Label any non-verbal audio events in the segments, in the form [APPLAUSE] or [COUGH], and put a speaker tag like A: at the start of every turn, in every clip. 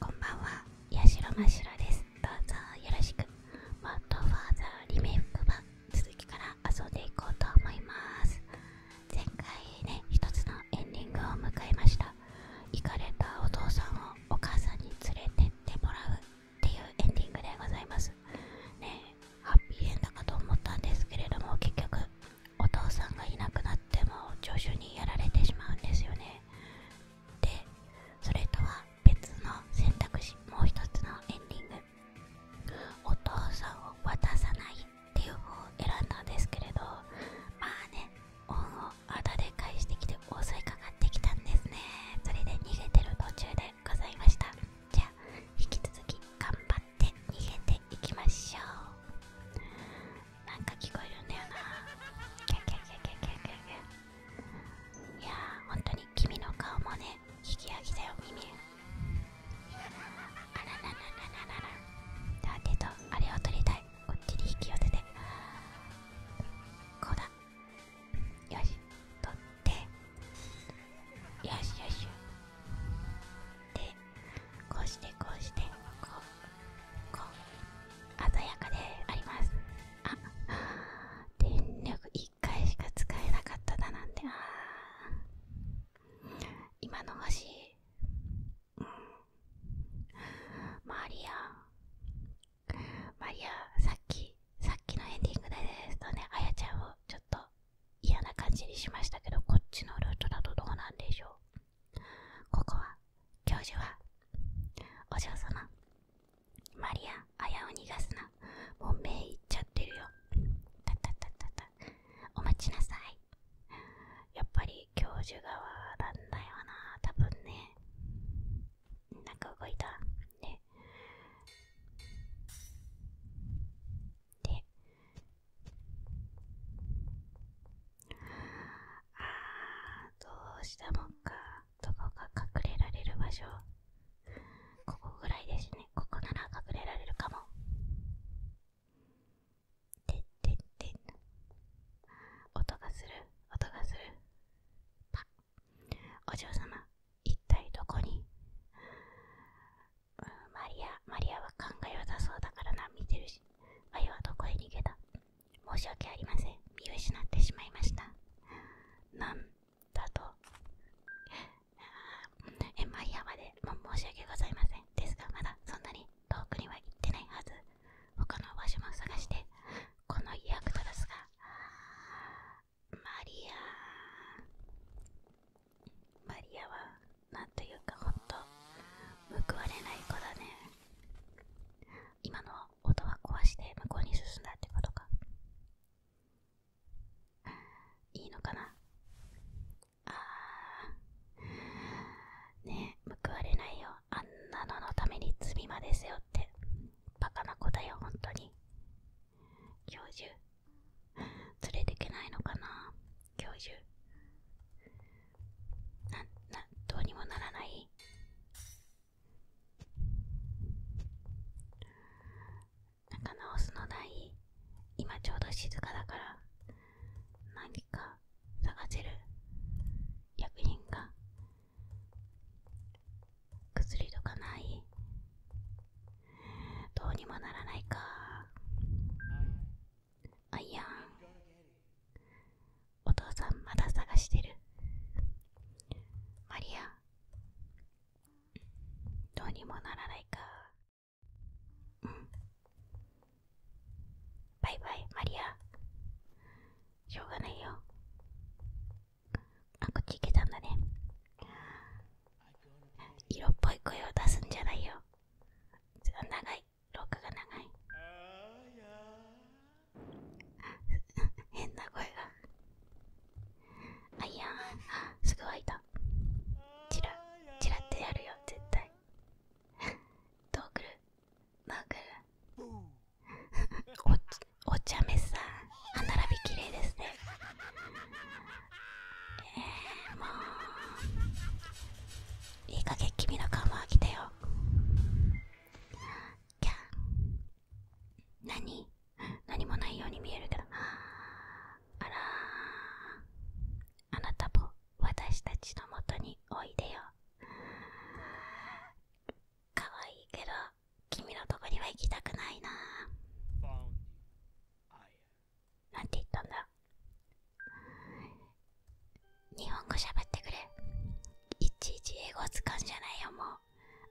A: こんばんは、八代真まです。どうぞよろしく。マッドファーザーリメイク版続きから遊んでいこうと思います。前回ね、一つのエンディングを迎えました。行かれたお父さんをお母さんに連れてってもらうっていうエンディングでございます。ねハッピーエンドかと思ったんですけれども、結局お父さんがいなくなっても、助手にやられてしまうんですよね。でそれとは別の選択肢もう一つのエンディングお父さんを渡さないっていう方を選んだんですけれどまあね恩をあだで返してきて襲いかかってきたんですねそれで逃げてる途中でございましたじゃあ引き続き頑張って逃げていきましょうなんか聞こえるんだよないや本当に君の顔もね引き上げだよ耳あららららららだけどあれを取りたいこっちに引き寄せてこうだよしとってよしよしでこうしてこうしてこうこう鮮やかでありますあ電力1回しか使えなかっただなんてあ今の星、うん、マリアマリアさっきさっきのエンディングですとねあやちゃんをちょっと嫌な感じにしましたけどこっちのルートだとどうなんでしょうここは教授はお嬢様マリア綾を逃がすなもう目いっちゃってるよたたたたたお待ちなさいやっぱり教授側なんだよな多分ねなんか動いたねであーどうしたもんかどこか隠れられる場所ここぐらいですねここなら隠れられるかもてってって音がする音がするパお嬢様一体どこに、マリアマリアは考えを出そうだからな見てるしマリアはどこへ逃げた申し訳ありません見失ってしまいましたなんだとえマリアまでも申し訳ございませんですがまだそんなに遠くには行ってないはず他の場所も探してこの役立たずがマリアマリアはなんというかほんと報われない子だね今の音は壊して向こうに進んだってことかいいのかなあーねえ報われないよあんなののために罪まで背負ってバカな子だよ本当に教授連れてけないのかな教授な、な、どうにもならないなんか直すのない今ちょうど静かだから何か探せる薬品か。薬とかないどうにもならないかあいやんお父さんまだ探してるマリアどうにもならないかうんバイバイマリアしょうがないよあこっち行けたんだね色っぽい声を出すんじゃないよ長い廊下が長い [LAUGHS] 変な声があいやーすぐいたチラチラってやるよ絶対 [LAUGHS] どうくるどうくるお茶目さん歯並び綺麗ですねえー、もういい加減君の顔も飽きてよキャ何何もないように見えるから、あらあなたも私たちのもとにおいでよかわいいけど君のとこには行きたくないななんて言ったんだ日本語喋ってくれいちいち英語使うんじゃないよもう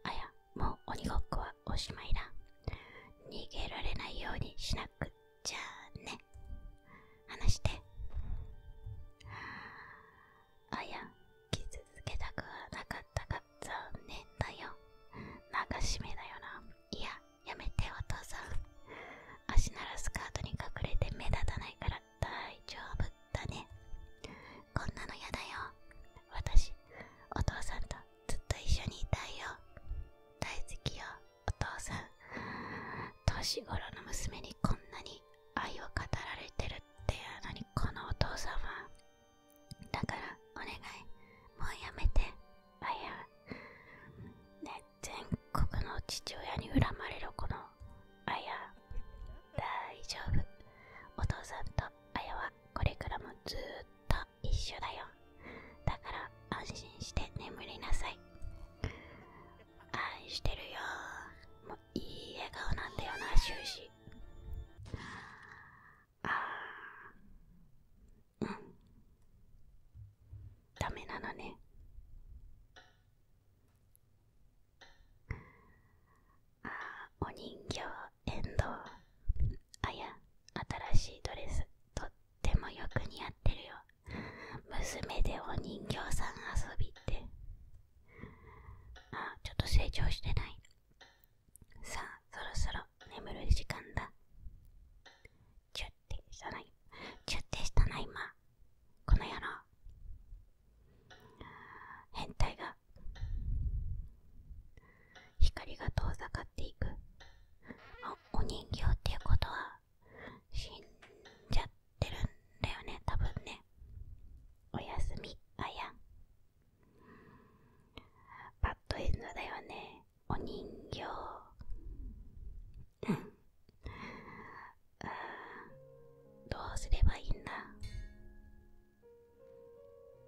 A: あやもう鬼ごっこはおしまいだ逃げられないようにしなくちゃね話してあや傷つけたくはなかったが残念だよ流しめだよないややめてお父さん足ならスカートに隠れて目立たないから大丈夫だねこんなのやだよ私お父さんとずっと一緒にいたいよ大好きよお父さん年頃の娘にこんなに愛を語られてるってやのにこのお父さんはだからお願いもうやめてあやね全国の父親に恨まれるこのあや大丈夫お父さんとあやはこれからもずっと一緒だよだから安心して眠りなさい愛してるよもういい笑顔なんだよな終始ああうんダメなのねあお人形エンドウあや新しいドレスとってもよく似合ってるよ娘でお人形さん遊びってあちょっと成長してないさあそろそろ眠る時間だチュッてしたなチュッてしたな今この野郎変態が光が遠ざかっていくお人形っていうことは死んじゃってるんだよね多分ねおやすみあやパッドエンドだよねお人形うん。あどうすればいいんだ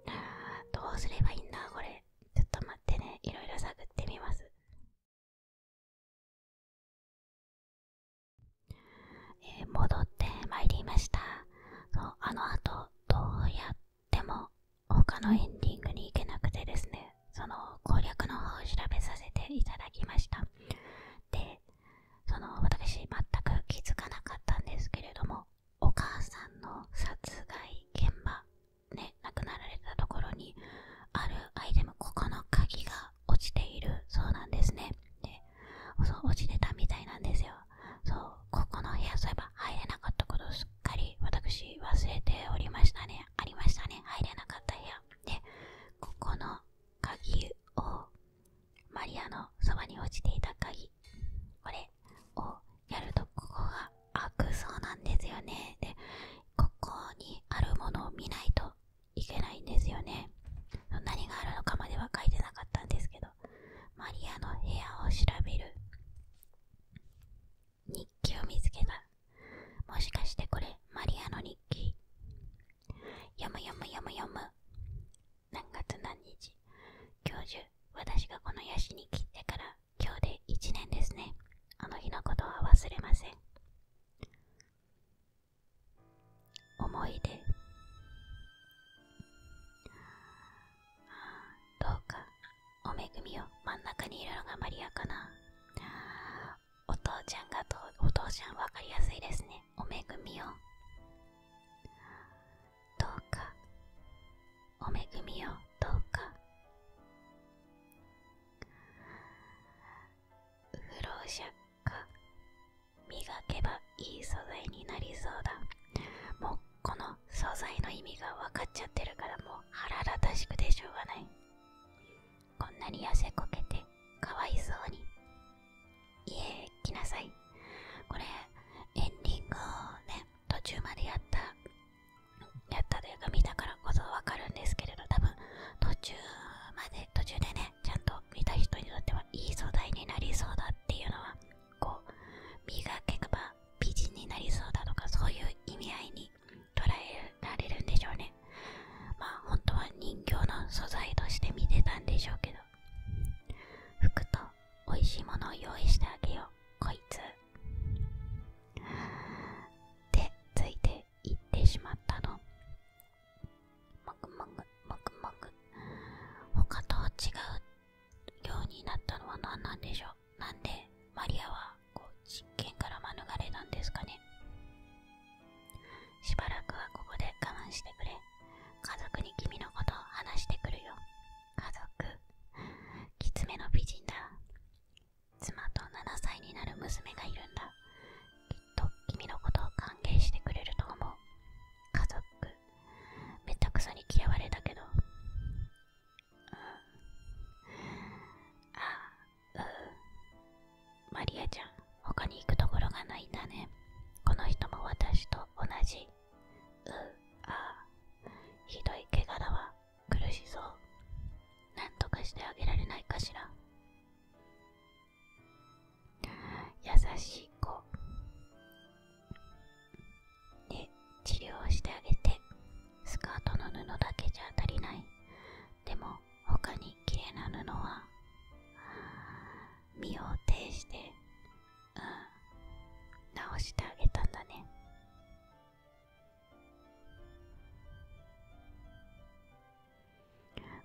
A: あどうすればいいんだこれちょっと待ってねいろいろ探ってみますえー、戻ってまいりましたそうあのあとどうやっても他のエンディングに行けなくてですねその攻略の方を調べさせていただきましたでその私全く気づかなかったんですけれどもお母さんの殺害現場ね亡くなられたところにあるアイテムここの鍵が落ちているそうなんですねでそう落ちてたみたいなんですよそうここの部屋そういえば入れなかったことすっかり私忘れておりましたねありましたね入れなかった部屋でここの鍵をマリアのそばに落ちていた鍵これをやるとここが開くそうなんですよねでここにあるものを見ないといけないんですよね何があるのかまでは書いてなかったんですけどマリアの部屋を調べる日記を見つけたもしかしてこれマリアの日記読む読む読む読む。何月何日。教授、私がこのヤシに切ってから今日で1年ですね。あの日のことは忘れません。思い出。どうか、お恵みを真ん中にいるのがマリアかな。お父ちゃんがと、お父ちゃんわかりやすいですね。お恵みをどうかお恵みをどうか不老者が磨けばいい素材になりそうだもうこの素材の意味が分かっちゃってるからもう腹立たしくてしょうがないこんなに痩せこけてかわいそうに家来なさいこれエンディングをね途中までやったやったというか見たからこそわかるんですけれど多分途中まで途中でねちゃんと見た人にとってはいい素材になりそうだっていうのはこう磨けば美人になりそうだとかそういう意味合いに捉えられるんでしょうねまあ本当は人形の素材として見てたんでしょうけど服とおいしいものを用意してあげようこいつってついていってしまったのもぐもぐもぐもぐ他と違うようになったのは何なんでしょうなんでマリアはこう実験から免れなんですかねしばらくはここで我慢してくれ家族に君のことを話してくるよ家族きつめの美人だ妻と7歳になる娘がいるんだきっと君のことを歓迎してくれると思う家族めったくそに嫌われたけど、うあ、あうマリアちゃん、他に行くところがないんだね。この人も私と同じ。う、あ、ひどい怪我だわ。苦しそう。なんとかしてあげられないかしら。優しい子。ね、治療してあげて。スカートの布だけじゃ足りない。でも、他に綺麗な布は。身を挺して、うん、直してあげたんだね。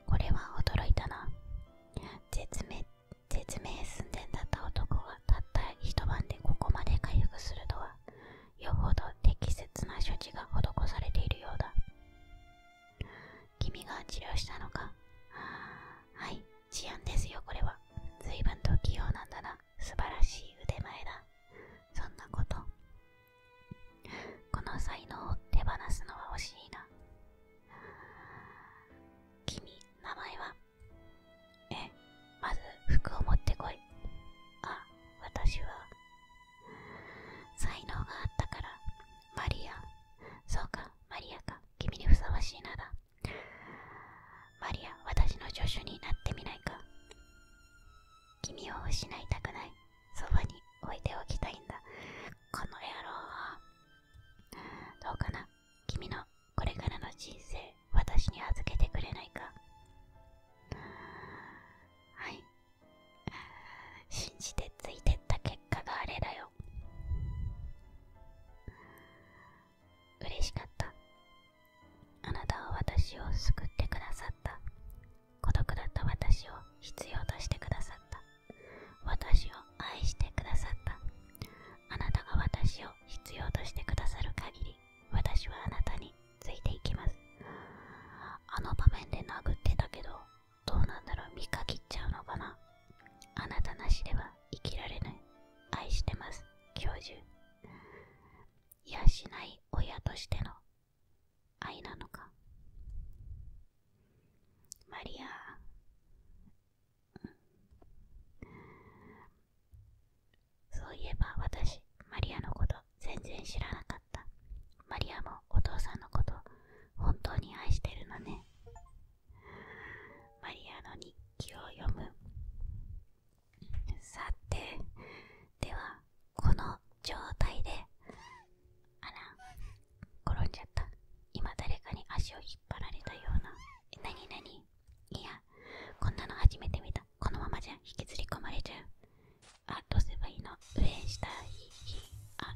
A: これは驚いたな。絶命、寸前だった男がたった一晩でここまで回復するとは、よほど適切な処置が施されているようだ。君が治療したのかはい治安ですよこれは随分と器用なんだな素晴らしい腕前だそんなことこの才能を手放すのは惜しいな君名前はえまず服を持ってこいあ私は才能があったからマリアそうかマリアか君にふさわしいならマリア私の助手になってみないか君を失いたくないそばに置いておきたいんだこの野郎どうかな君のこれからの人生私に預けてくれないかはい信じてついてった結かがれだよ嬉しかったあなたは私を救ってくださった孤独だった私を必要としてくださった私を愛してくださったあなたが私を必要としてくださる限り私はあなたについていきますあの場面で殴ってたけどどうなんだろう見限っちゃうのかなあなたなしでは生きられない愛してます教授いやしない親としての愛なのかマリアそういえば私マリアのこと全然知らなかったマリアもお父さんのこと本当に愛してるのねマリアの日記を読むさてではこの状態であら転んじゃった今誰かに足を引っ張られたような何にいやこんなの初めて見たこのままじゃ引きずり込まれちゃうあどうすればいいの上下あ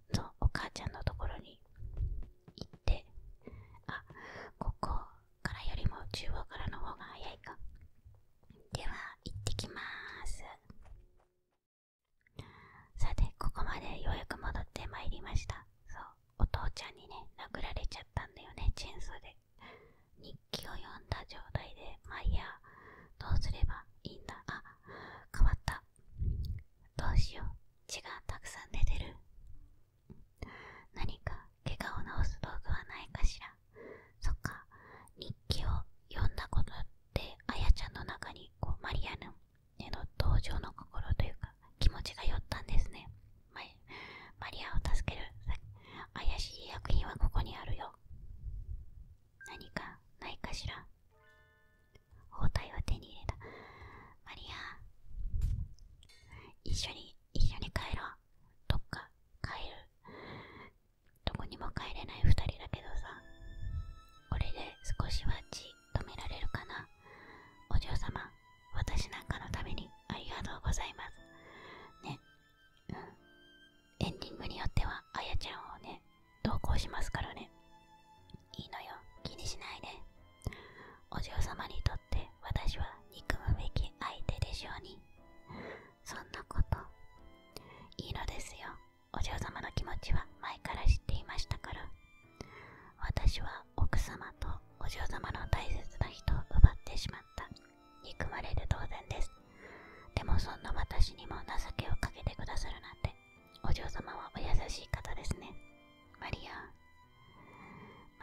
A: のお母ちゃんのところに行ってあここからよりも中央からの方が早いかでは行ってきますさてここまでようやく戻ってまいりましたそうお父ちゃんにね殴られちゃったんだよねチェーンソーで日記を読んだ状態でまあいやどうすればいいんだあ変わったどうしよう血がたくさん出てる何か怪我を治す道具はないかしらそっか日記を読んだことで、てあやちゃんの中にこうマリアのへの登場の心というか気持ちが寄ったんですねママリアを助ける怪しい薬品はここにあるよ何かないかしら包帯は手に入れたマリア一緒に一緒に帰ろうどっか帰るどこにも帰れない2人だけどさこれで少しはじっと見られるかなお嬢様私なんかのためにありがとうございますねうんエンディングによってはあやちゃんをね同行しますからねいいのよ気にしないでお嬢様にとって私は憎むべき相手でしょうにそんなこといいのですよお嬢様の気持ちは前から知っていましたから私は奥様とお嬢様の大切な人を奪ってしまった憎まれる当然ですでもそんな私にも情けをかけてくださるなんてお嬢様はお優しい方ですね。マリア、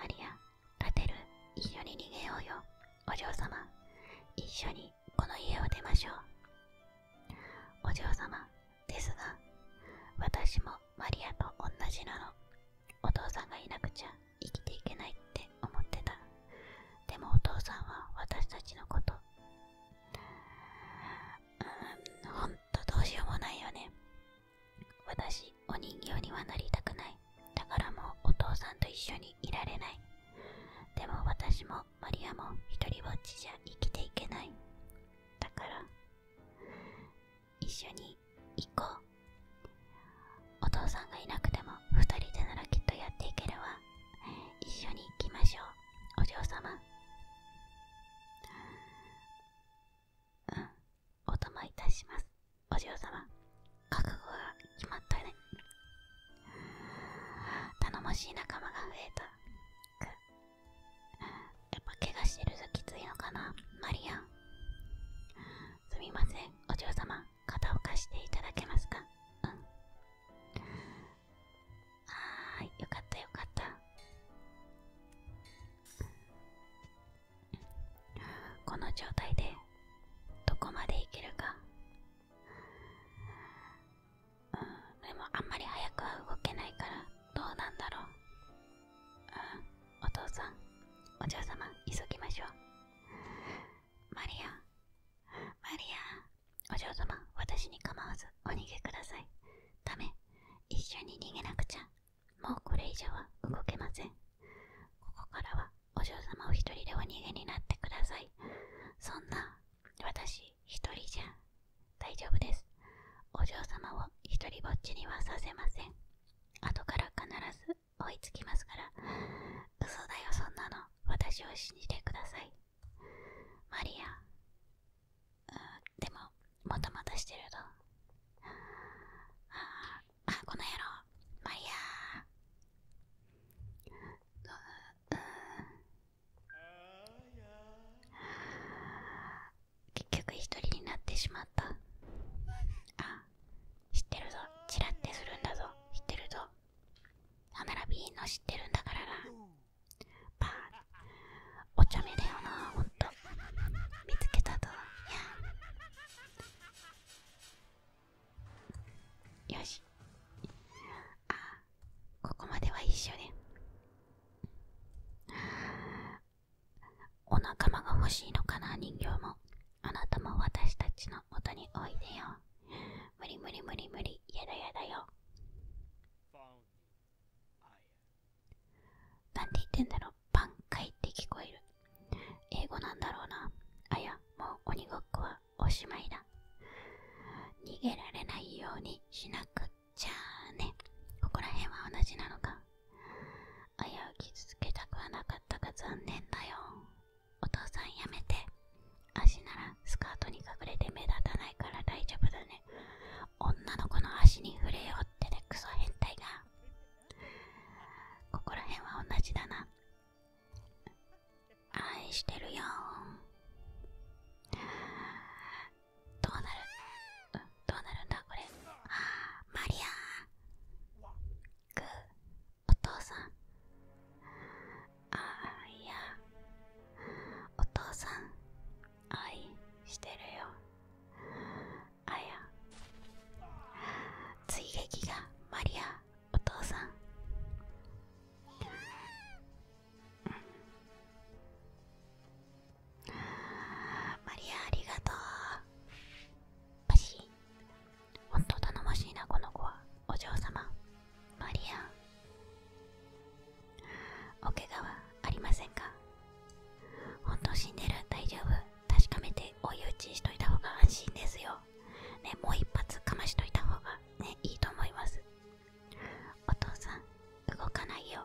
A: マリア、立てる、一緒に逃げようよ。お嬢様、一緒にこの家を出ましょう。お嬢様、ですが、私もマリアと同じなの。お父さんがいなくちゃ生きていけないって思ってた。でもお父さんは私たちのこと、うん、本どうしようもないよね。私、お人形にはなりたくない。だからもうお父さんと一緒にいられない。でも私もマリアもひとりぼっちじゃ生きていけない。だから、一緒に行こう。お父さんがいなくても2人でならきっとやっていけるわ。一緒に行きましょう。お嬢様。うんお供いたしますお嬢様覚悟が決まったね頼もしい仲間が増えたくやっぱ怪我してるときついのかなマリアンすみませんお嬢様肩を貸していただけますかうんああよかったよかったこの状態でどこまでいけるかうんでもあんまり早くは動けないからどうなんだろううお父さんお嬢様急ぎましょうマリアマリアお嬢様私に構わずお逃げくださいダメ一緒に逃げなくちゃもうこれ以上は動けません。ここからはお嬢様を一人でお逃げになってください。そんな私一人じゃ大丈夫です。お嬢様を一人ぼっちにはさせません。後から必ず追いつきますから。嘘だよそんなの。私を信じてください。マリア、でももたもたしてるぞ。ああこの野郎マリア結局一人になってしまったあ知ってるぞチラッてするんだぞ知ってるぞ歯並びいいの知ってるんだからなパーお茶目だよなほんと見つけたぞいやよしあここまでは一緒で。お仲間が欲しいのかな人形もあなたも私たちの元においでよ無理無理無理無理やだやだよなんて言ってんだろう挽回って聞こえる。英語なんだろうな。あや、もう鬼ごっこはおしまいだ。逃げられないようにしなくちゃね。ここら辺は同じなのか。あやを傷つけたくはなかったか。残念だよ。お父さんやめて。足ならスカートに隠れて目立たないから大丈夫だね。女の子の足に触れようってねクソ変態がここら辺は同じだな愛してるよどうなるどうなるんだこれあマリアグーお父さんああいやお父さん愛してるよあや追撃がマリアお父さんマリアありがとうパシーほんと頼もしいなこの子はお嬢様マリアお怪我はありませんか本当死んでる大丈夫確かめて追い打ちしといた方が安心ですよ。ね、もう一発かましといた方がね、いいと思います。お父さん、動かないよ。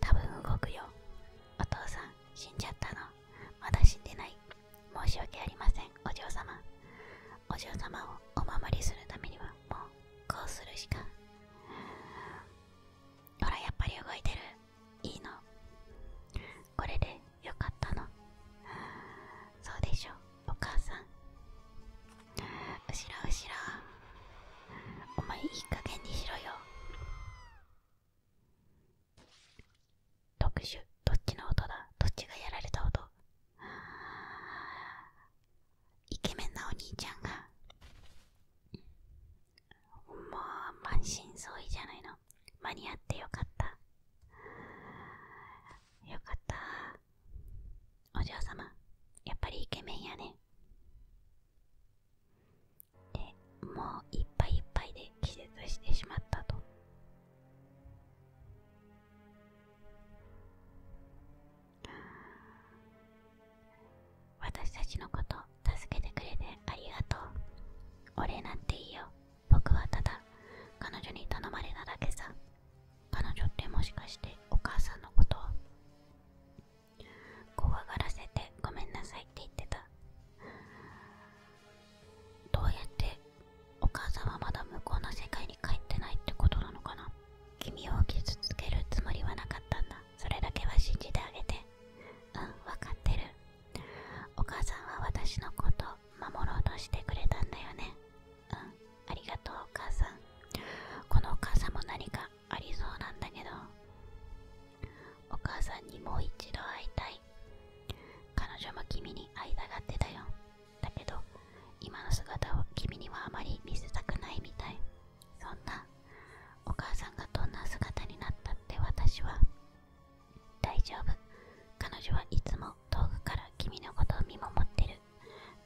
A: 多分動くよ。お父さん、死んじゃったの。まだ死んでない。申し訳ありません、お嬢様。お嬢様をお守りするためには、もう、こうするしか。ほらやっぱり動いてるいいのこれでよかったのそうでしょお母さん後ろ後ろお前いい加減にしろよ特殊どっちの音だどっちがやられた音イケメンなお兄ちゃんがもう満身創痍じゃないの間に合ってよかったよかったお嬢様やっぱりイケメンやねでもういっぱいいっぱいで気絶してしまったと私たちのこと助けてくれてありがとうお礼なんていいよ僕はただ彼女に頼まれただけさ彼女ってもしかしてお母さんのことを怖がらせてごめんなさいって言ってたどうやってお母さんはまだ向こうの世界に帰ってないってことなのかな君を傷つけるつもりはなかったんだそれだけは信じてあげてうん分かってるお母さんは私のこと守ろうとしてくれたんだよねうんありがとうお母さんこのお母さんも何かありそうなんだけどお母さんにもう一度会いたい彼女も君に会いたがってたよだけど今の姿を君にはあまり見せたくないみたいそんなお母さんがどんな姿になったって私は大丈夫彼女はいつも遠くから君のことを見守ってる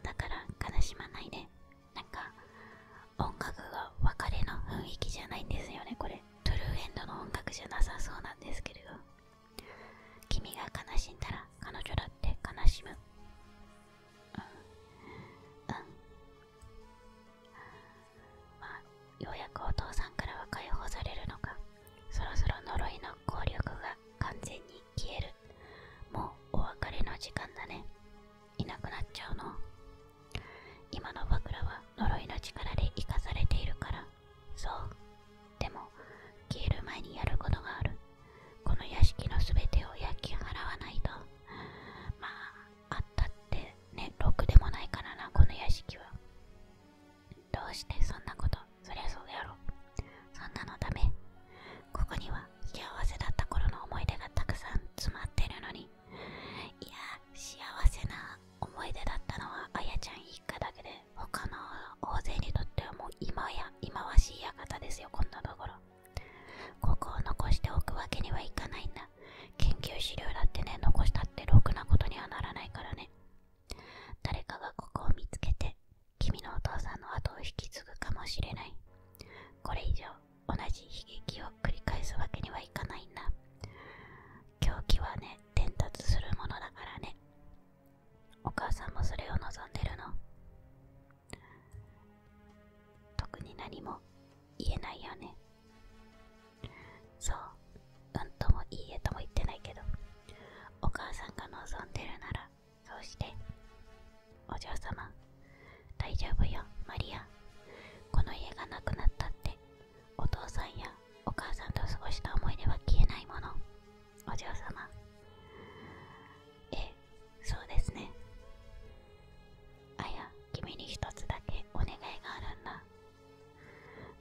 A: だから悲しまないでなんか音楽が別れの雰囲気じゃないんですよねこれトゥルーエンドの音楽じゃなさそうなんですけれど君が悲しんだら彼女だって悲しむうん、うん、まあ、ようやくお父さんからは解放されるのかそろそろ呪いの効力が完全に消えるもうお別れの時間だねいなくなっちゃうの今の枕は呪いの力で生かされているからそうでも消える前にやることがあるこの屋敷の全てを焼き払わないとまああったってねろくでもないからなこの屋敷はどうしてそんなことそりゃそうやろそんなのダめ、ここには幸せだった頃の思い出がたくさん詰まってるのにいや幸せな思い出だったのはあやちゃん一家だけで他の大勢にとってはもう今や忌まわしい館ですよこんなところここを残しておくわけにはいかないんだ研究資料だってね残したってろくなことにはならないからね誰かがここを見つけて君のお父さんの後を引き継ぐかもしれないこれ以上同じ悲劇を繰り返すわけにはいかないんだ狂気はね伝達するものだからねお母さんもそれを望んでるの特に何も言えないよねそううんともいいえとも言ってないけどお母さんが望んでるならそうしてお嬢様大丈夫よマリアこの家がなくなったってお父さんやお母さんと過ごした思い出は消えないものお嬢様ええそうですねあや君に一つだけお願いがあるんだ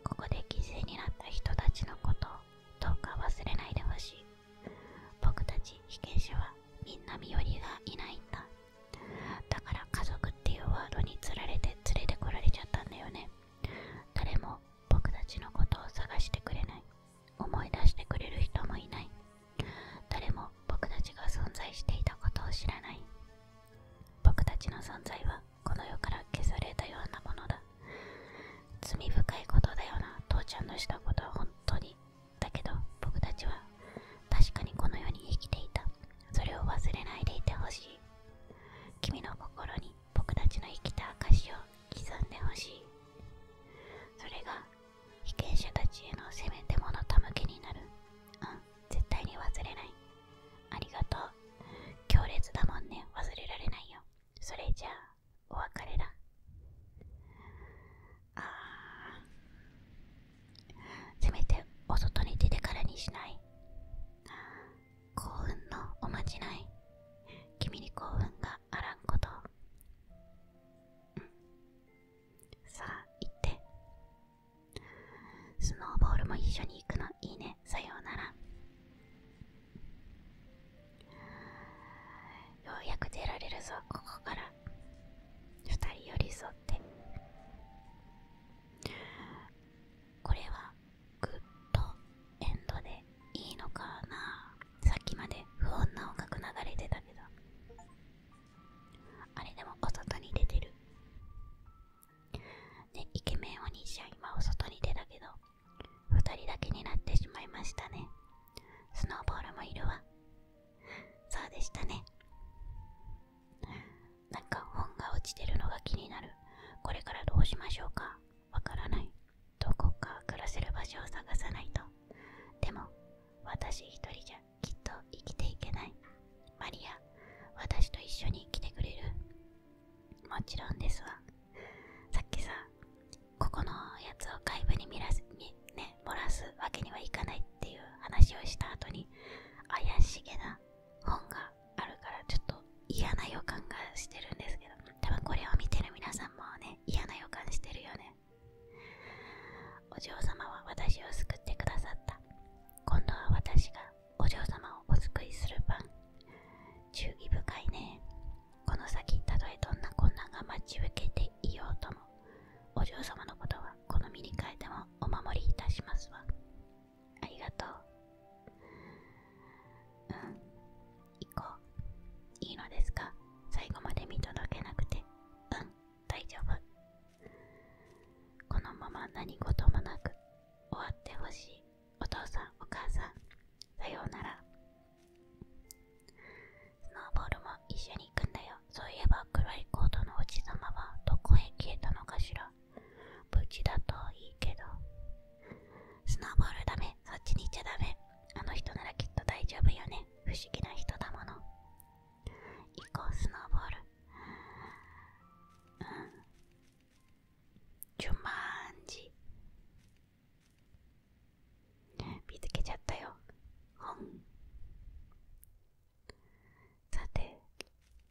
A: ここで犠牲になった人たちのことをどうか忘れないでほしい僕たち被験者はみんな身寄りがいないんだだから家族っていうワードにつられて連れてこられちゃったんだよね誰も僕たちのことを探してくれない思い出してくれる人もいない誰も僕たちが存在していたことを知らない僕たちの存在はこの世から消されたようなものだ罪深いことだよな父ちゃんのしたことは本当にだけど僕たちは確かにこの世に生きていたそれを忘れないでいてほしい君の心に僕たちの生きた証を刻んでほしいそれが被験者たちへのせめてものたむけになるうん絶対に忘れないありがとう強烈だもんね忘れられないよそれじゃあお別れだあせめてお外に出てからにしない幸運のおまじない君に幸運があらんこと、さあ行ってスノーボールも一緒に行くのいいねさようならようやく出られるぞここから2人寄り添ってこれはグッドエンドでいいのかなさっきまで不穏な音楽流れてたけどあれでもお外に出てる。ね、イケメンお兄ちゃん今お外に出たけど、二人だけになってしまいましたね。スノーボールもいるわ。そうでしたね。なんか本が落ちてるのが気になる。これからどうしましょうかわからない。どこか暮らせる場所を探さないと。でも、私一人じゃきっと生きていけないマリア私と一緒に来てくれるもちろんですわさっきさここのやつを外部に見らすにね漏らすわけにはいかないっていう話をした後に怪しげな本があるからちょっと嫌な予感がしてるんですけど多分これを見てる皆さんもね嫌な予感してるよねお嬢様は私を救ってくださった今度は私がお嬢様をお救いする番忠義深いねこの先たとえどんな困難が待ち受けていようともお嬢様のことはこの身に変えてもお守りいたしますわありがとううん行こういいのですか最後まで見届けなくてうん大丈夫このまま何事もなく終わってほしいお父さんお母さんさようならスノーボールも一緒に行くんだよそういえば黒いコートのおじさまはどこへ消えたのかしら無事だといいけどスノーボールダメそっちに行っちゃダメあの人ならきっと大丈夫よね不思議な人だもの行こうスノーボールうんジュマンジ見つけちゃったよん。さて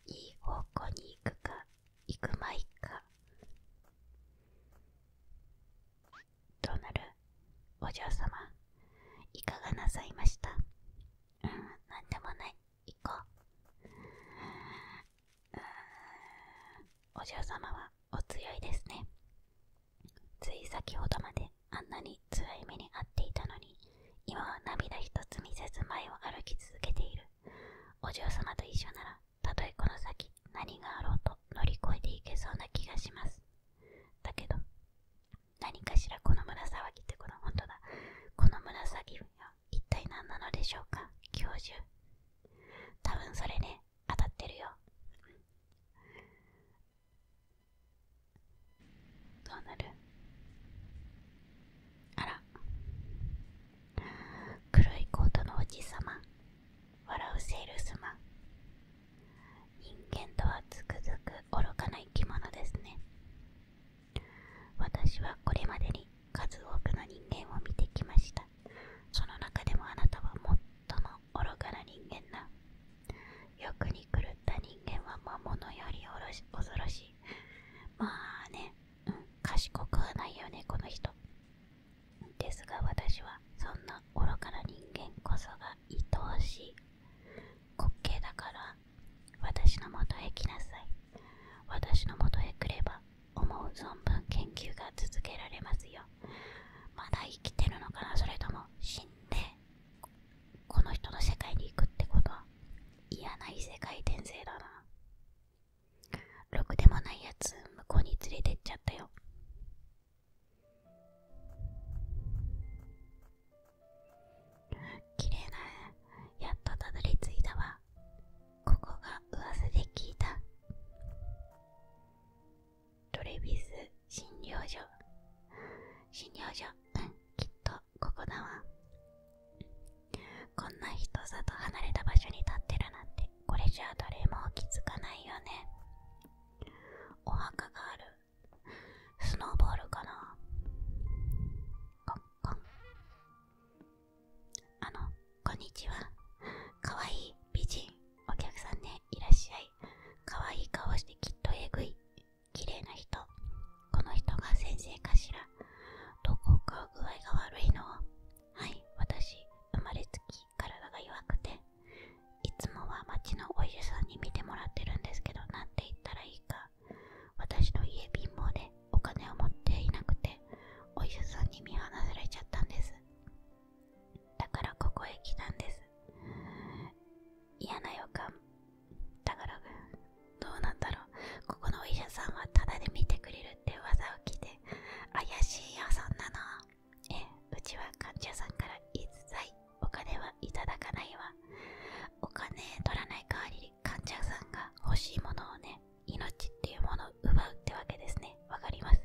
A: いい方向に行くか行くまいかどうなるお嬢様いかがなさいましたうん、なんでもない。行こう。お嬢様はお強いですね。つい先ほどまであんなに辛い目に遭っていたのに、今は涙ひとつ見せず前を歩き続けている。お嬢様と一緒なら、たとえこの先何があろうと乗り越えていけそうな気がします。だけど、何かしらこの紫ってこの本当だこの紫は一体何なのでしょうか教授多分それね当たってるよどうなるあら黒いコートのおじさま笑うセールスマン人間とはつくづく愚かな生き物ですね私はこれまでに数多くの人間を見てきましたその中でもあなたは最も愚かな人間だ欲に狂った人間は魔物より恐ろしいまあね、うん、賢くはないよねこの人ですが私はそんな愚かな人間こそが愛おしい滑稽だから私のもとへ来なさい私のもとへ来れば思う存分研究が続けられますよまだ生きてるのかなそれとも死んでこの人の世界に行くってことは嫌な異世界転生だなろくでもないやつ向こうに連れてっちゃったよ綺麗なやっとたどり着いたわここが噂で聞いたトレビス診療所診療所うんきっとここだわこんな人里離れた場所に立ってるなんてこれじゃあ誰も気づかないよねお墓があるスノーボールかなこんあのこんにちはかわいい美人お客さんねいらっしゃいかわいい顔してきっとえぐい綺麗な人この人が先生かしらどこか具合が悪いのはい私生まれつき体が弱くていつもは町のお医者さんに見てもらってるんですけどなんて言ったらいいか私の家貧乏でお金を持っていなくてお医者さんに見放されちゃったんですだからここへ来たんです嫌な予感だからどうなんだろうここのお医者さんはタダで見てくれるって噂を聞いて怪しい予算なのええうちは患者さんから一切お金はいただかないわお金取らない代わり患者さんが欲しいものをね命っていうものを奪うってわけですねわかります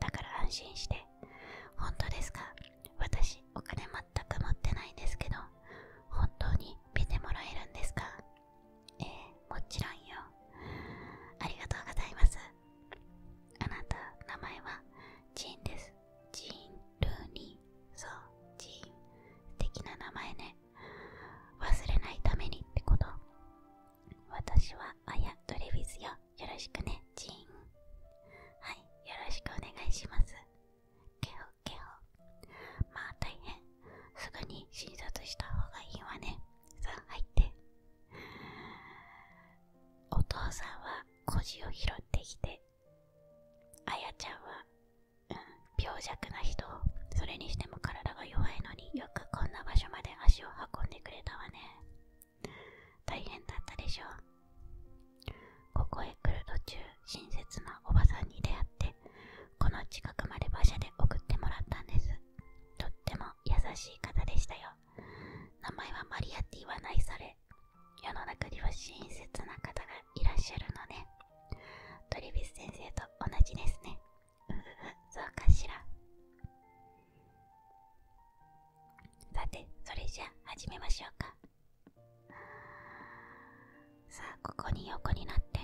A: だから安心して本当ですか私お金全く持ってないんですけど本当に見てもらえるんですかええもちろんよありがとうございますあなた名前はジーンですジーン・ルーニーそうジーン素敵な名前ね忘れないためにってこと私はあやドレビスよよろしくねジーンはいよろしくお願いしますケホケホまあ大変すぐに診察した方がいいわねさあ入ってお父さんは孤児を拾ってきてあやちゃんは病弱な人それにしても体が弱いのによくこんな場所まで足を運んでくれたわね大変だったでしょう。ここへ来る途中親切なおばさんに出会ってこの近くまで馬車で送ってもらったんですとっても優しい方でしたよ名前はマリアって言わないそれ世の中には親切な方がいらっしゃるのねトリビス先生と同じですね。ううう、そうかしら。さて、それじゃ始めましょうか。さあ、ここに横になって。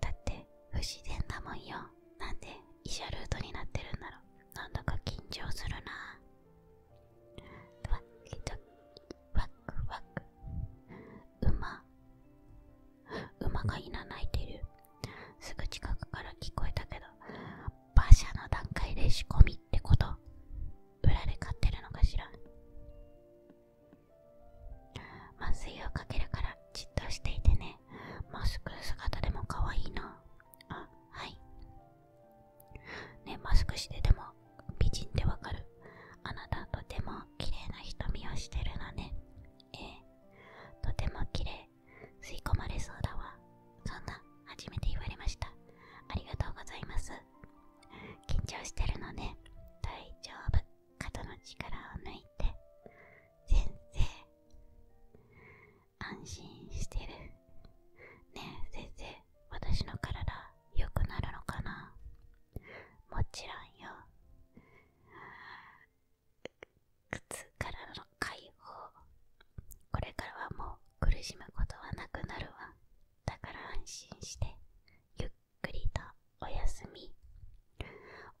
A: だって、不自然なもんよ。なんで医者ルートになってるんだろう。なんだか緊張するな。ワキジャキワクワク馬馬がいな鳴いてるすぐ近くから聞こえたけど馬車の段階で仕込みってこと売られ買ってるのかしら麻酔をかけるからじっとしていてねマスク姿でも可愛いなあはいねマスクしてでも美人でわかるあなたとても綺麗な瞳をしてるのねええとても綺麗吸い込まれそうだわそんな初めて言われましたありがとうございます緊張してるのね大丈夫肩の力を抜いて先生安心してるねえ先生私の体良くなるのかなもちろんよ靴からの解放これからはもう苦しむことはなくなるわだから安心してゆっくりとお休み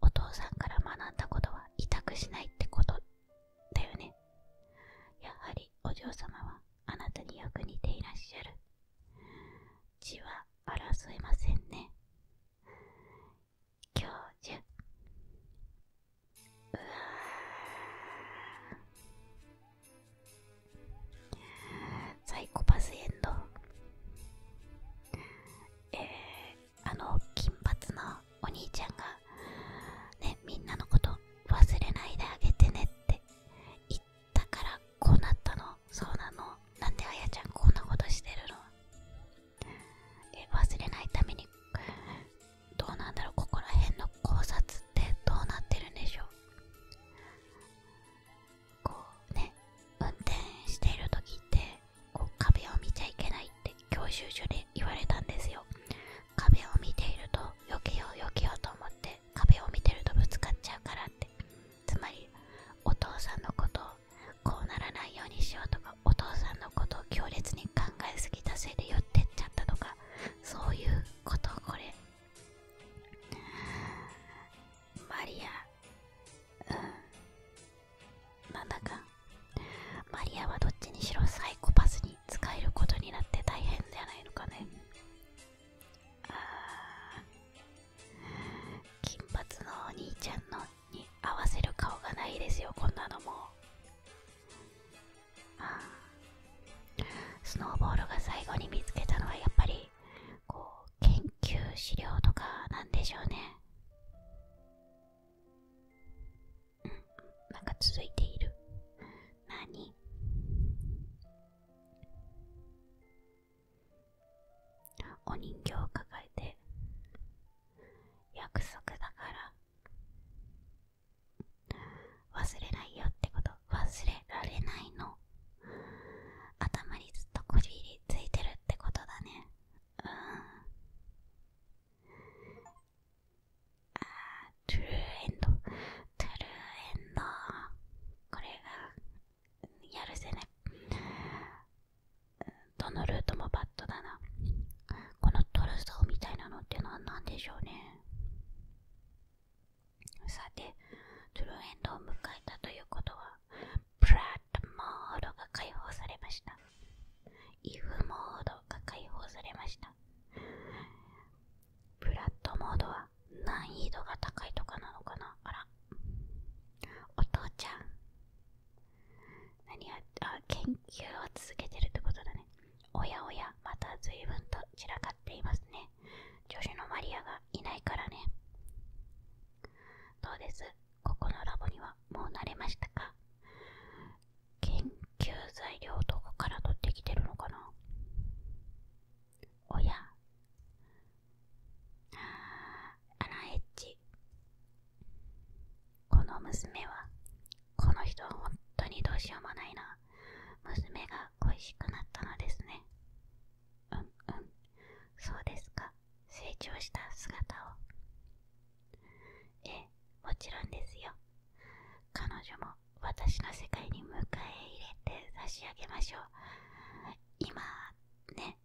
A: お父さんから学んだことは委託しないってことだよねやはりお嬢様はあなたによく似ていらっしゃる血は争いませんね教授うわサイコパスエンドえー、あの金髪のお兄ちゃんがねみんなのこと忘れないであげてねって言っだからこうなったのそうなのなんであやちゃんこんなことしてるのえ忘れないためにどうなんだろうここら辺の考察ってどうなってるんでしょうこうね運転している時ってこう壁を見ちゃいけないって教習所で言われたんですよ壁を見ていると避けよう避けようと思って壁を見てるとぶつかっちゃうからってつまりお父さんのことをこうならないようにしようとかお父さんのことを強烈に考えすぎたせいで寄ってっちゃったとかそういうことこれマリアうんなんだかマリアはどっちにしろサイコパスに使えることになって大変じゃないのかね金髪のお兄ちゃんのに合わせる顔がないですよこんなのもあスノーボールが最後に見つけたのはやっぱりこう研究資料とかなんでしょうねうんなんか続いている何お人形を抱えて約束だから忘れないよってこと忘れられないの頭にずっとこじりついてるってことだねうんああトゥルーエンドトゥルーエンドこれがやるせぜねどのルートもバッドだなこのトルソーみたいなのってのは何でしょうねさてトゥルーエンドを迎えたということはプラットモードが解放されましたイフモードが解放されましたブラッドモードは難易度が高いとかなのかなあらお父ちゃん何やあ研究を続けてるってことだねおやおやまた随分と散らかっていますね助手のマリアがいないからねどうですここのラボにはもう慣れましたか研究材料どこから取ってきてるのかな親。やアナエッジこの娘はこの人は本当にどうしようもないな娘が恋しくなったのですねうんうんそうですか成長した姿をええもちろんですよ彼女も私の世界に迎え入れて差し上げましょう今ね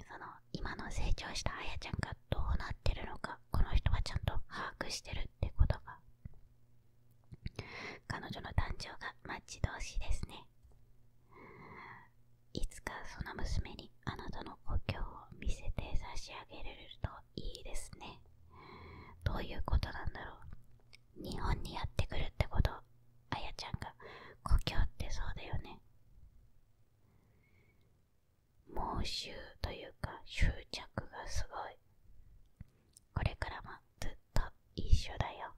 A: その今の成長したあやちゃんがどうなってるのかこの人はちゃんと把握してるってことが彼女の誕生が待ち遠しいですねいつかその娘にあなたの故郷を見せて差し上げれるといいですねどういうことなんだろう日本にやってくるってことあやちゃんが故郷ってそうだよね猛襲というか執着がすごいこれからもずっと一緒だよ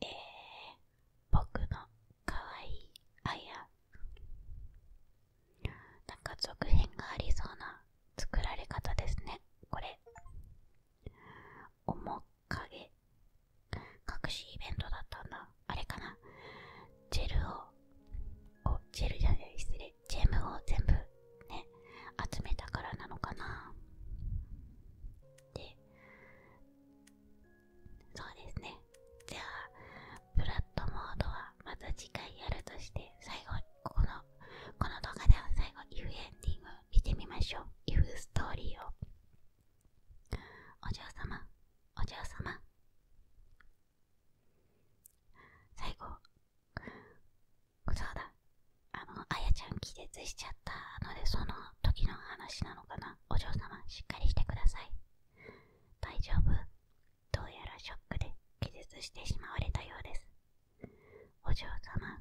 A: えー、僕のかわいいあやなんか続編がありそうな作られ方ですねこれ面影隠しイベントだったんだあれかなジェルをおジェルじゃない失礼ジェムを全部ね集めたからなのかなでそうですねじゃあブラッドモードはまた次回やるとして最後このこの動画では最後イ U エンディング見てみましょう。if ストーリーを。お嬢様、お嬢様。最後、そうだ、あの、あやちゃん気絶しちゃったので、その時の話なのかな。お嬢様、しっかりしてください。大丈夫。どうやらショックで気絶してしまわれたようです。お嬢様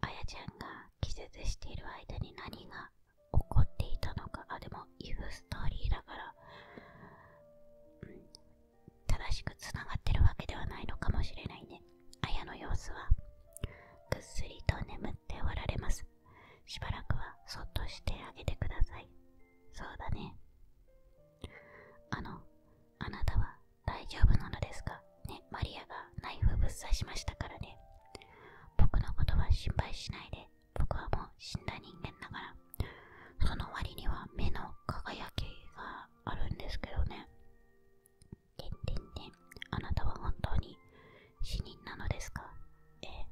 A: あやちゃんが気絶している間に何が起こっていたのかあでもイフストーリーだから、うん、正しくつながってるわけではないのかもしれないねあやの様子はぐっすりと眠っておられますしばらくはそっとしてあげてくださいそうだねあのあなたは大丈夫なのですかね、マリアがナイフぶっ刺しましたからね。僕のことは心配しないで、僕はもう死んだ人間だから。その割には目の輝きがあるんですけどね。てんてんてあなたは本当に死人なのですかええ。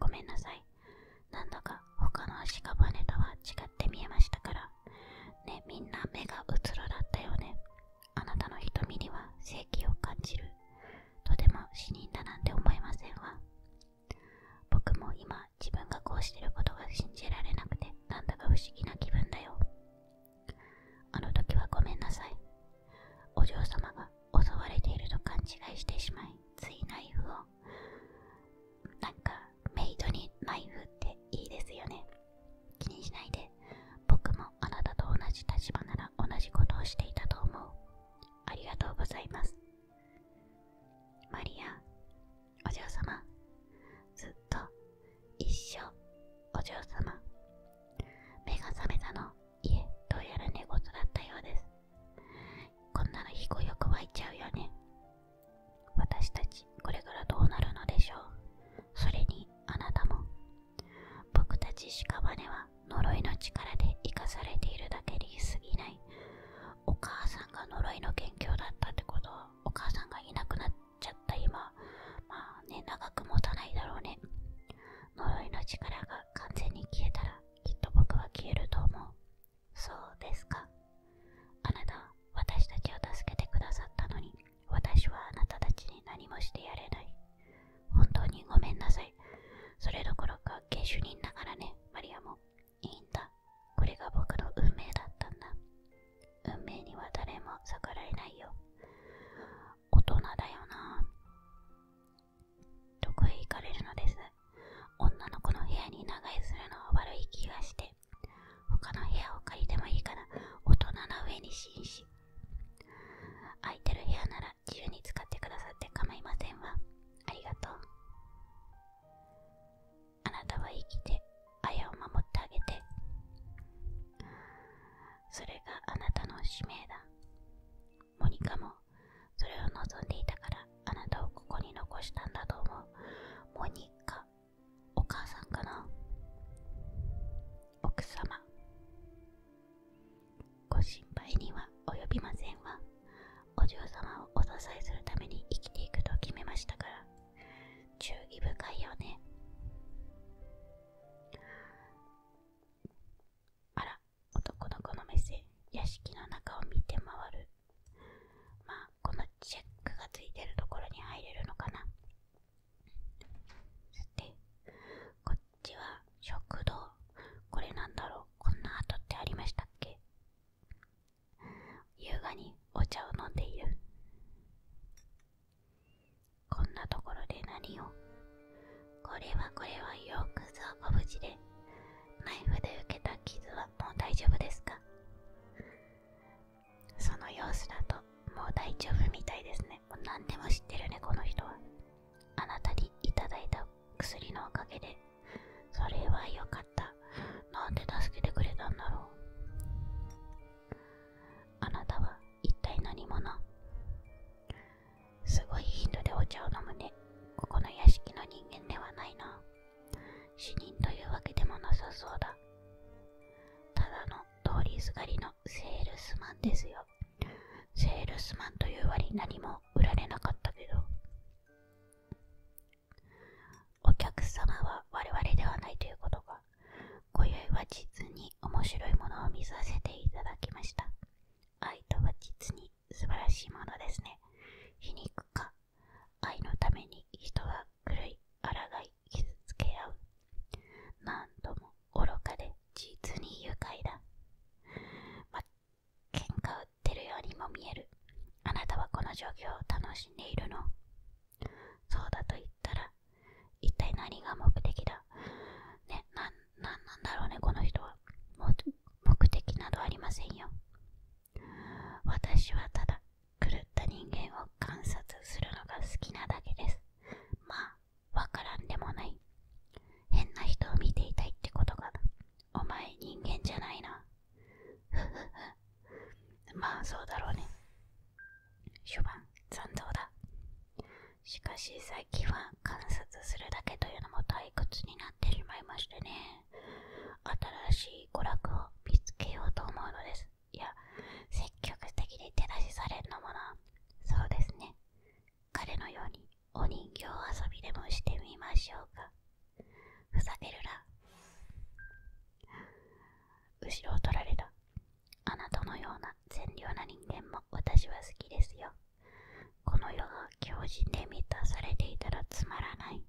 A: ごめんなさい。なんだか他の足かバネとは違って見えましたからねみんな目がうつろだったよねあなたの瞳には正気を感じるとでも死人だなんて思いませんわ僕も今自分がこうしてることが信じられなくてなんだか不思議な気分だよあの時はごめんなさいお嬢様が襲われていると勘違いしてしまいついナイフをなんかメイドにナイフっていいですよね気にしないで僕もあなたと同じ立場なら同じことをしていたと思うありがとうございますマリアお嬢様ずっと一緒。お嬢様目が覚めたの家、どうやら寝言だったようですこんなのひこよく湧いちゃうよね私たちこれからどうなるのでしょうそれにあなたも僕たち屍は呪いの力で生かされているだけでいすぎないお母さんが呪いの元凶だったってことはお母さんがいなくなっちゃった今まあね長く持たないだろうね呪いの力が完全に消えたらきっと僕は消えると思うそうですか。あなた、私たちを助けてくださったのに、私はあなたたちに何もしてやれない。本当にごめんなさい。それどころか、下手人だからね、マリアも。いいんだ。これが僕の運命だったんだ。運命には誰も逆らえないよ。大人だよな。どこへ行かれるのです女の子の部屋に長居するのは悪い気がして。他の部屋を借りてもいいから大人の上に紳士空いてる部屋なら自由に使ってくださって構いませんわありがとうあなたは生きてあを守ってあげてそれがあなたの使命だモニカもそれを望んでいたからあなたをここに残したんだと思うモニカお母さんかな奥様ご心配には及びませんわお嬢様をお支えするために生きていくと決めましたから注意深いよねあら男の子の目線屋敷の中を見て回るまあこのチェックがついてるところに入れるのかなさてこっちは食堂これなんだろうこんな跡ってありましたっけ優雅にお茶を飲んでいるこんなところで何をこれはこれはよくぞご無事でナイフで受けた傷はもう大丈夫ですかその様子だともう大丈夫みたいですねもう何でも知ってるねこの人はあなたにいただいた薬のおかげでそれは良かったなんで助けてくれたんだろうあなたは一体何者すごい頻度でお茶を飲むねここの屋敷の人間ではないな死人というわけでもなさそうだ。ただの通りすがりのセールスマンですよ。セールスマンという割何も売られなかったけど。お客様は我々ではないということが、今宵は実に面白いものを見させていただきました。愛とは実に素晴らしいものですね。皮肉か愛のために人は狂い、抗い、傷つけ合う。何度も愚かで実に愉快だ。ま、喧嘩売ってるようにも見える。あなたはこの状況を楽しんでいるの。そうだと言ったら、一体何が目的だね、なん、なんだろうね、この人は。目的などありませんよ。私はただ狂った人間を観察するのが好きなだけですまあわからんでもない変な人を見ていたいってことがお前人間じゃないなふふふまあそうだろうね初版残像だしかし最近は観察するだけというのも退屈になってしまいましてね新しい娯楽を見つけようと思うのです。いや、積極的に手出しされるのもな。そうですね。彼のようにお人形遊びでもしてみましょうか。ふざけるな。後ろを取られた。あなたのような善良な人間も私は好きですよ。この世が狂人で満たされていたらつまらない。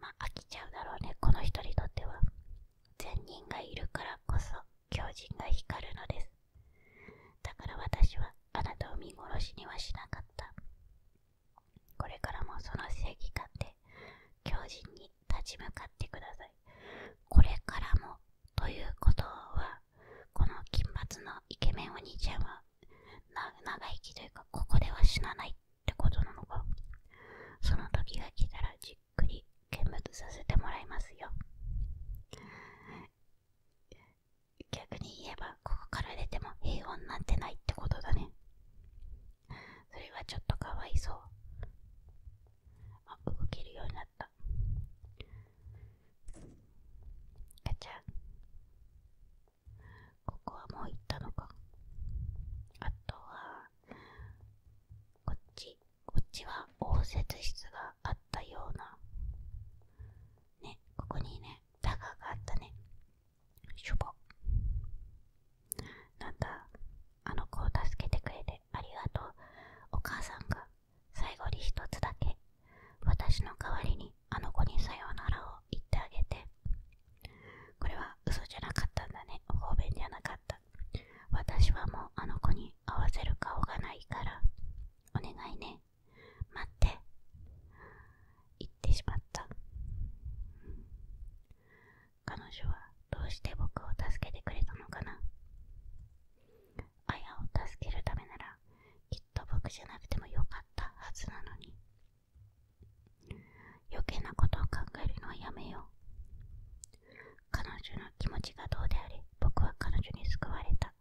A: まあ飽きちゃうだろうねこの人にとっては善人がいるからこそ狂人が光るのですだから私はあなたを見殺しにはしなかったこれからもその正義感で狂人に立ち向かってくださいこれからもということはこの金髪のイケメンお兄ちゃんは長生きというかここでは死なないってことなのかその時が来たらじっくり見物させてもらいますよ逆に言えばここから出ても平穏なんてないってことだねそれはちょっとかわいそうあ動けるようになったガチャここはもう行ったのかあとはこっちこっちは応接室があったようなねここにねダガがあったねしょぼなんだあの子を助けてくれてありがとうお母さんが最後に一つだけ私の代わりにあの子にさようならを言ってあげてこれは嘘じゃなかったんだね。お方便じゃなかった。私はもうあの子に合わせる顔がないから、お願いね。待って。言ってしまった。彼女はどうして僕を助けてくれたのかなあを助けるためならきっと僕じゃなくてもよかったはずなのに余計なことを考えるのはやめよう彼女の気持ちがどうであれ僕は彼女に救われた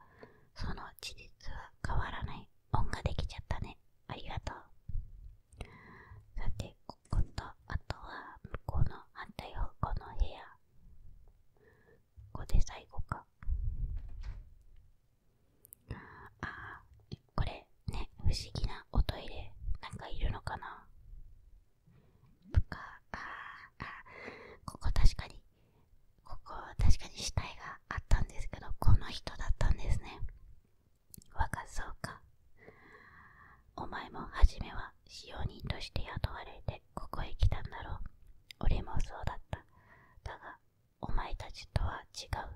A: その事実は変わらない恩ができちゃったねありがとうさてこことあとは向こうの反対方向の部屋ここで最後かああ、これね不思議なおトイレなんかいるのかなかああここ確かにここ確かに死体があったんですけどこの人だったんですね若そうかお前も初めは使用人として雇われてここへ来たんだろう俺もそうだっただがお前たちとは違う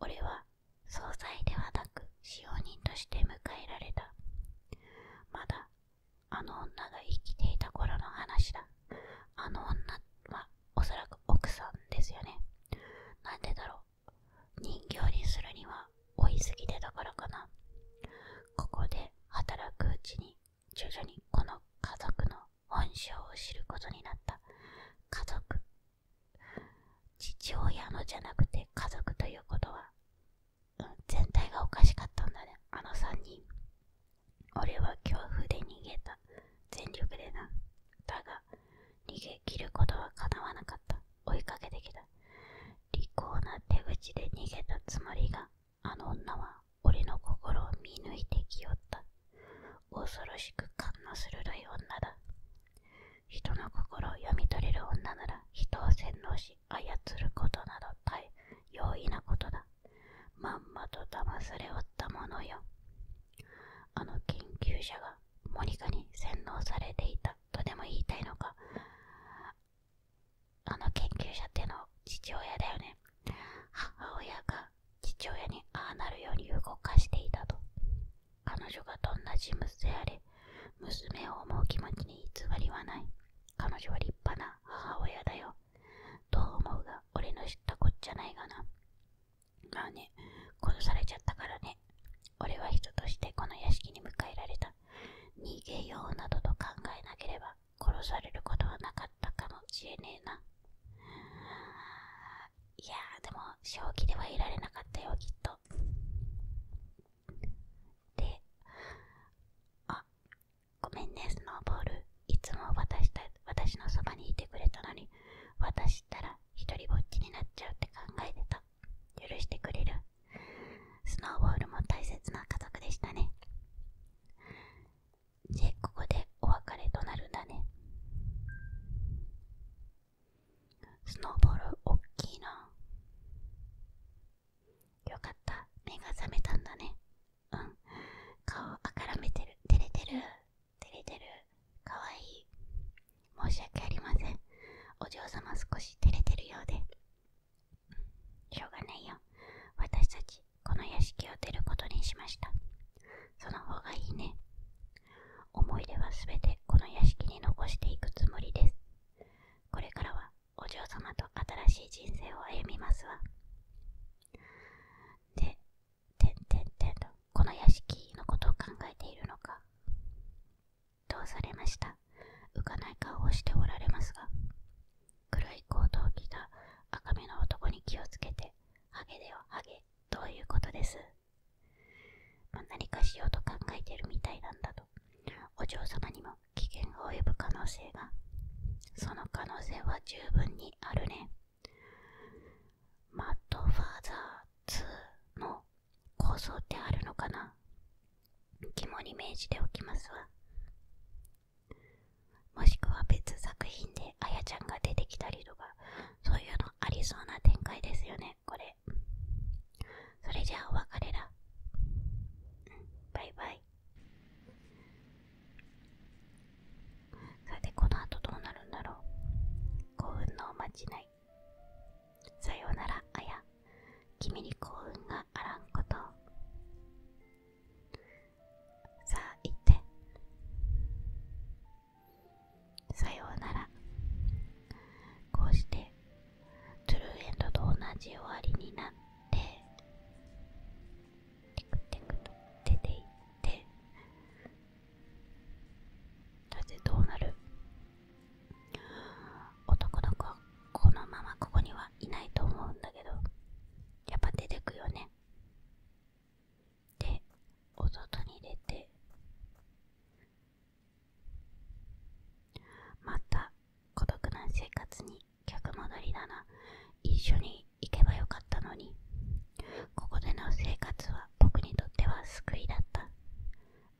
A: 俺は総裁ではなく使用人として迎えられたまだあの女が生きていた頃の話だあの女はおそらく奥さんですよねなんでだろう人形にするには追いすぎてだからかなここで働くうちに徐々にこの家族の本性を知ることになった家族父親のじゃなくて家族ということは、全体がおかしかったんだねあの三人俺は恐怖で逃げた全力でなだが逃げ切ることは叶わなかった追いかけてきた利口な手口で逃げたつもりがあの女は俺の心を見抜いてきよった恐ろしく感の鋭い女だ人の心を読み取れる女なら人を洗脳し操ることなど大容易なことだまんまと騙されおったものよあの研究者がモニカに洗脳されていたとでも言いたいのかあの研究者っての父親だよね母親が父親にああなるように動かしていたと彼女がどんな人物であれ、娘を思う気持ちに偽りはない。彼女は立派な母親だよ。どう思うが、俺の知ったこっちゃないがな。まあね、殺されちゃったからね。俺は人としてこの屋敷に迎えられた。逃げようなどと考えなければ、殺されることはなかったかもしれねえな。いやでも、正気ではいられなかったよ、きっと。であごめんねスノーボールいつも私た私のそばにいてくれたのに私ったら一人ぼっちになっちゃうって考えてた許してくれるスノーボールも大切な家族でしたねでここでお別れとなるんだねスノーボールおっきいなよかった目が覚めたんだねうん顔あからめてる照れてる照れてるかわいい申し訳ありませんお嬢様少し照れてるようでしょうがないよ私たちこの屋敷を出ることにしましたその方がいいね思い出はすべてこの屋敷に残していくつもりです。これからはお嬢様と新しい人生を歩みますわ。で、てんてんてんと、この屋敷のことを考えているのか。どうされました浮かない顔をしておられますが。黒いコー器が赤目の男に気をつけて、ハゲではハゲ、どういうことですまあ、何かしようと考えてるみたいなんだとお嬢様にも危険が及ぶ可能性がその可能性は十分にあるねマッドファーザー2の構想ってあるのかな肝に銘じておきますわもしくは別作品であやちゃんが出てきたりとかそういうのありそうな展開ですよねこれそれじゃあお別れら。バイバイさてこの後どうなるんだろう幸運のおまちないさようならあや君に幸運があらんことさあ行ってさようならこうしてトゥルーエンドと同じ終わりになってテクテクと出ていってそしてどうなる男の子はこのままここにはいないと思うんだけどやっぱ出てくよねでお外に出てまた孤独な生活に逆戻りだな一緒に行けばよかったのにここでの生活は僕にとっては救いだった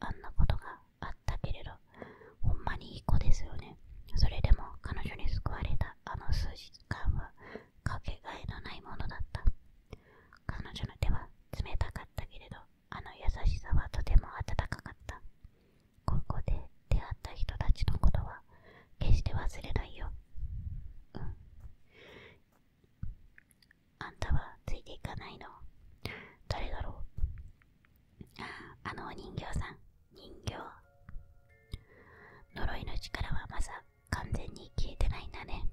A: あんなことがあったけれどほんまにいい子ですよねそれでも彼女に救われたあの数時間はかけがえのないものだった彼女の手は冷たかったけれどあの優しさはとても温かかったここで出会った人たちのことは決して忘れないようんあんたはついていかないの誰だろうあのお人形さん人形呪いの力はまさ完全に消えてないんだね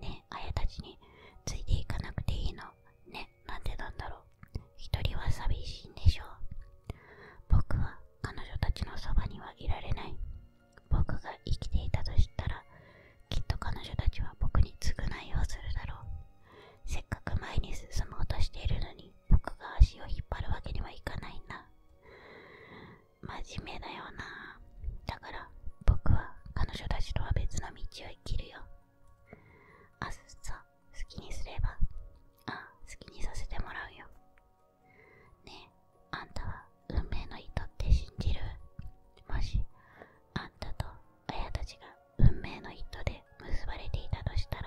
A: ねねたちについていかなくていいのねなんでなんだろう一人は寂しいんでしょう僕は彼女たちのそばにはいられない僕が生きていたとしたらきっと彼女たちは僕に償いをするだろうせっかく前に進もうとしているのに僕が足を引っ張るわけにはいかないんだ真面目だよなだから僕は彼女たちとは別の道を生きるよあっさ好きにすればあ好きにさせてもらうよねえあんたは運命の糸って信じるもしあんたとあやたちが運命の糸で結ばれていたとしたら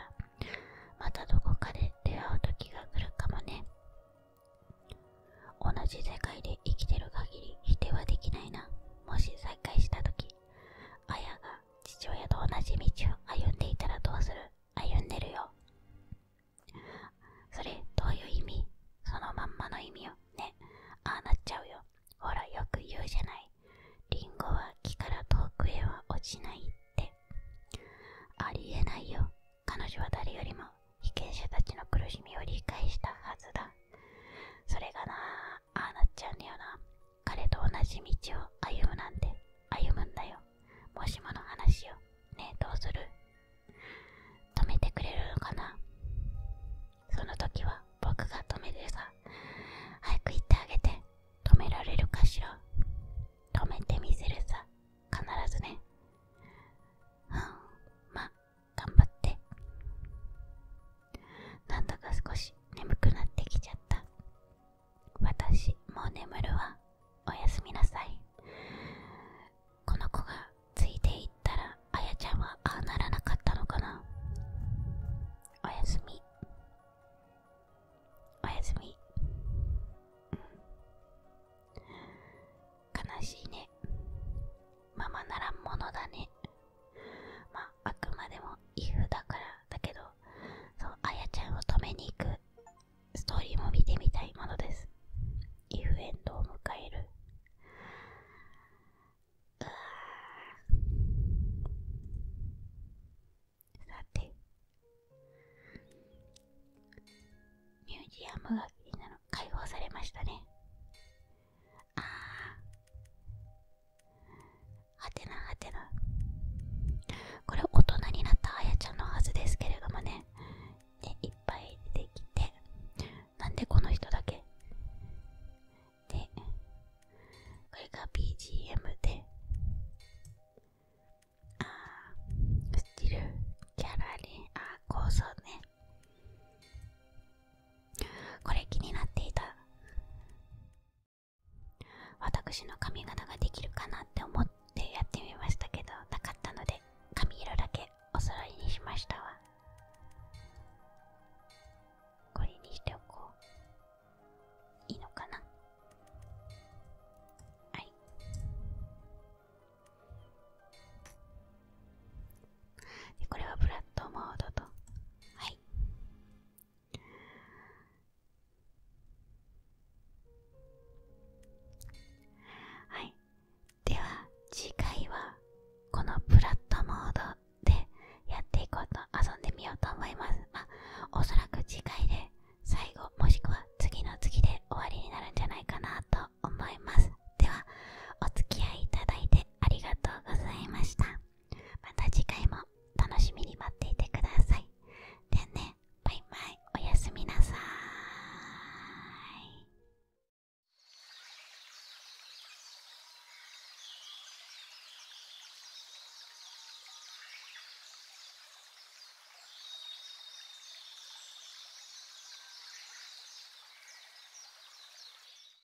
A: またどこかで出会う時が来るかもね同じ世界で生きてる限り否定はできないな。もし再会した時、あやが父親と同じ道を歩んでいたらどうする歩んでるよ。それ、どういう意味そのまんまの意味よ。ね。ああなっちゃうよ。ほら、よく言うじゃない。リンゴは木から遠くへは落ちないって。ありえないよ。彼女は誰よりも被験者たちの苦しみを理解したはずだ。それがなああなっちゃうんだよな彼と同じ道を歩むなんて歩むんだよもしもの話をねえどうする止めてくれるのかなその時は僕が止めてさ早く行ってあげて止められるかしら止めてみせるさ必ずねうん頑張ってなんだか少し眠くなってきちゃった私もう眠るわおやすみなさいこの子がついていったらあやちゃんはああならなかったのかなおやすみおやすみ、うん、悲しいねママならんものだねまああくまでもイフだからだけどそうあやちゃんを止めに行くストーリーも見てみたいものですイフエンドを迎えるうわさてミュージアムが気になる解放されましたねああはてなはてなこれ大人になったあやちゃんのはずですけれどもねでいっぱい出てきてなんでこの人だけでこれが BGM でああスチルキャラリンああ構想ねこれ気になっていた私の髪型ができるかなって思ってやってみましたけどなかったので髪色だけお揃いにしましたわこれにしておこういいのかなはいこれはブラッドモードとはいはいでは次回はこのブラッドモードでやっていこうと遊んでみようと思いますまあおそらく次回で最後もしくは次の次で終わりになるんじゃないかなと思いますではお付き合いいただいてありがとうございましたまた次回も楽しみに待っていてください。でね、バイバイ、おやすみなさい。